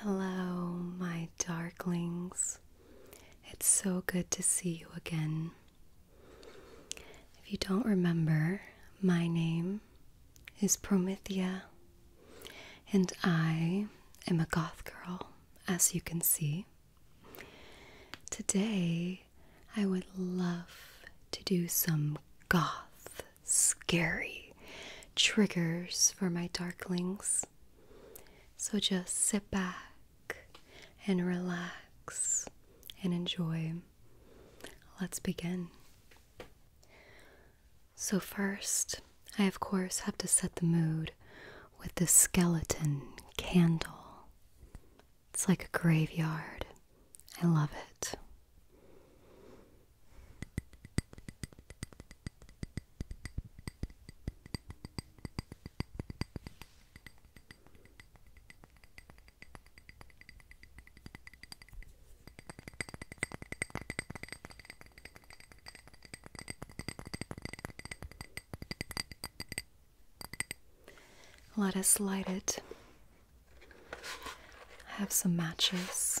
Hello, my darklings. It's so good to see you again. If you don't remember, my name is Promethea, and I am a goth girl, as you can see. Today, I would love to do some goth scary triggers for my darklings. So just sit back and relax and enjoy. Let's begin. So, first, I of course have to set the mood with the skeleton candle. It's like a graveyard. I love it. Let us light it. I have some matches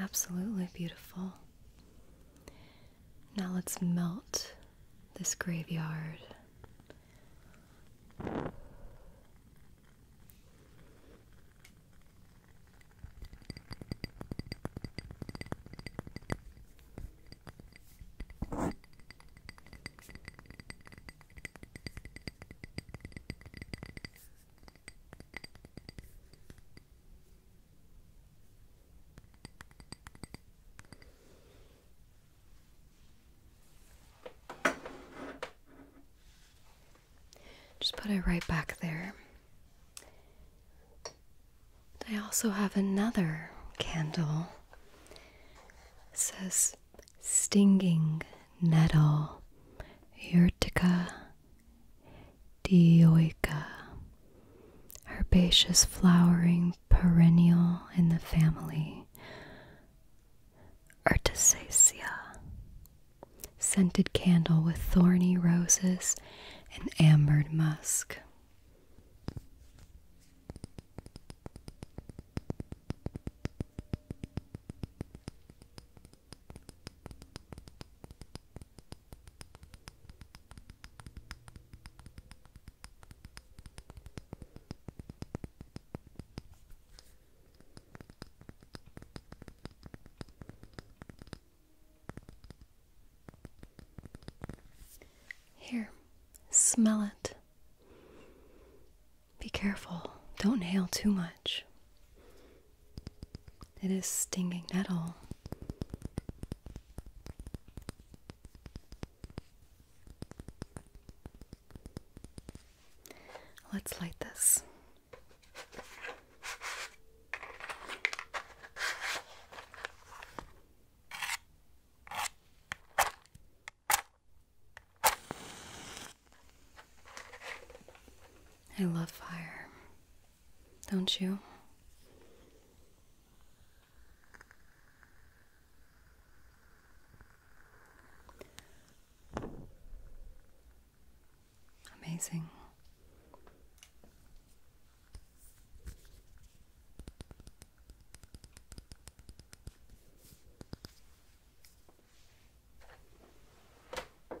Absolutely beautiful. Now let's melt this graveyard. Just put it right back there. I also have another candle. It says Stinging Nettle Urtica dioica, herbaceous flowering perennial in the family Urticaceae, scented candle with thorny roses and ambered musk. Here, smell it. Be careful, don't inhale too much. It is stinging nettle. Let's light this. I love fire, don't you? Amazing. I'll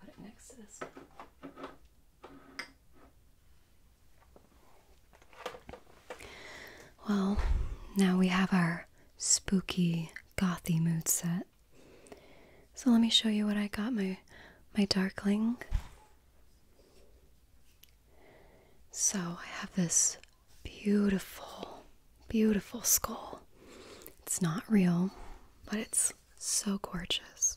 put it next to this one. Well, now we have our spooky gothy mood set. So let me show you what I got my my darkling. So I have this Beautiful, beautiful skull. It's not real, but it's so gorgeous.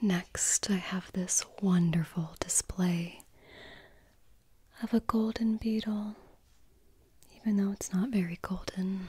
Next, I have this wonderful display of a golden beetle, even though it's not very golden.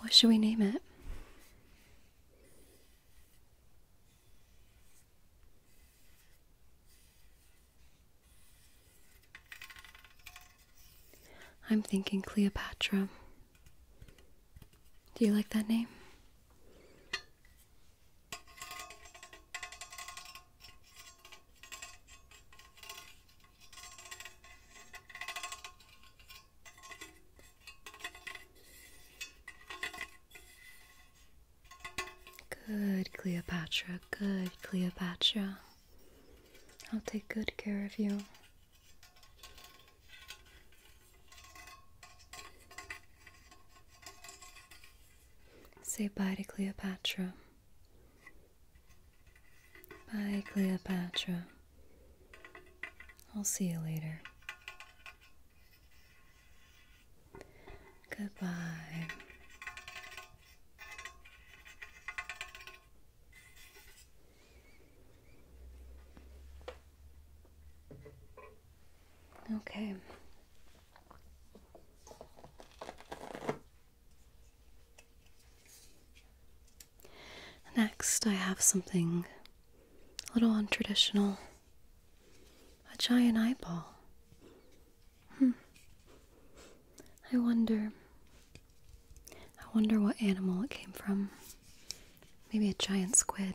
What should we name it? I'm thinking Cleopatra. Do you like that name? Good Cleopatra, good Cleopatra. I'll take good care of you. Say bye to Cleopatra. Bye, Cleopatra. I'll see you later. Goodbye. Okay. Next, I have something a little untraditional a giant eyeball. Hmm. I wonder. I wonder what animal it came from. Maybe a giant squid.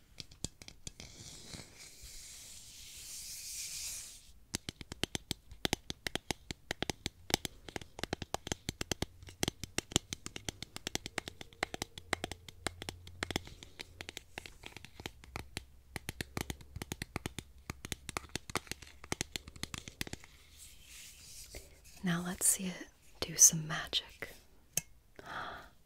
Now let's see it do some magic.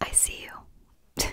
I see you.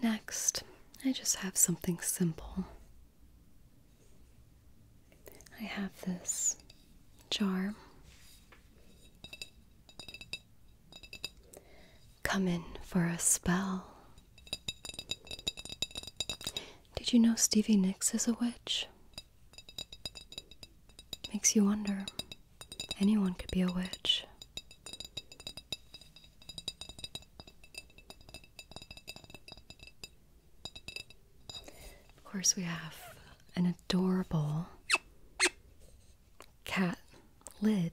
Next, I just have something simple. I have this jar. Come in for a spell. Did you know Stevie Nicks is a witch? Makes you wonder. Anyone could be a witch. Of course, we have an adorable cat lid.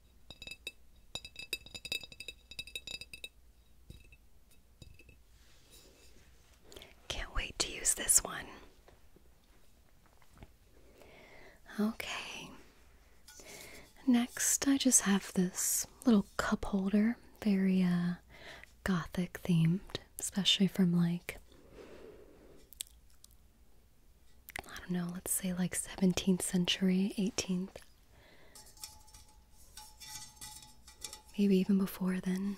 Can't wait to use this one. Okay. Next, I just have this little cup holder, very uh, gothic themed, especially from like I don't know, let's say like 17th century, 18th. Maybe even before then.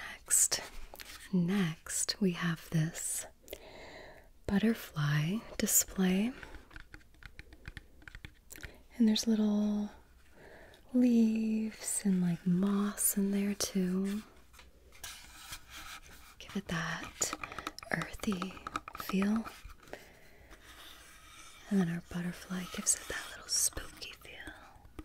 Next, next we have this butterfly display. And there's little leaves and like moss in there too. Give it that earthy feel. And then our butterfly gives it that little spooky feel.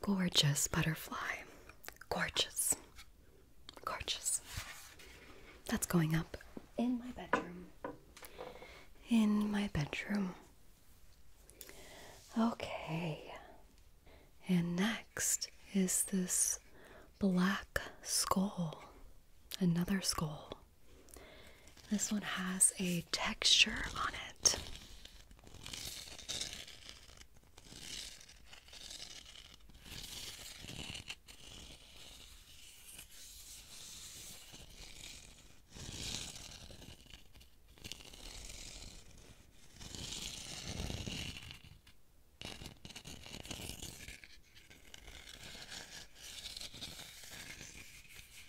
Gorgeous butterfly. Gorgeous. Gorgeous. That's going up in my bedroom. In my bedroom. Okay. And next is this black skull. Another skull. This one has a texture on it.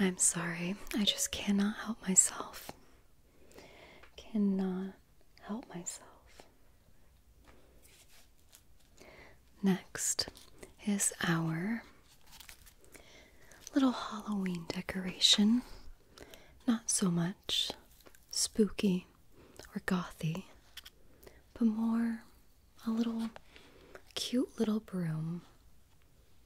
I'm sorry, I just cannot help myself. Cannot help myself. Next is our little Halloween decoration. Not so much spooky or gothy, but more a little cute little broom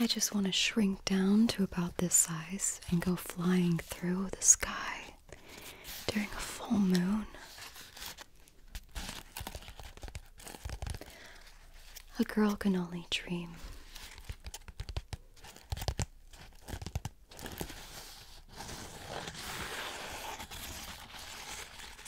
I just want to shrink down to about this size and go flying through the sky during a full moon. A girl can only dream.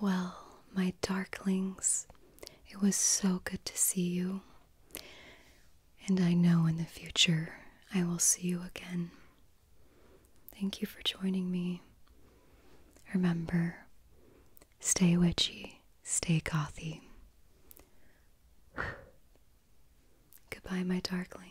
Well, my darklings, it was so good to see you. And I know in the future I will see you again. Thank you for joining me. Remember, stay witchy, stay gothy. Goodbye, my darling.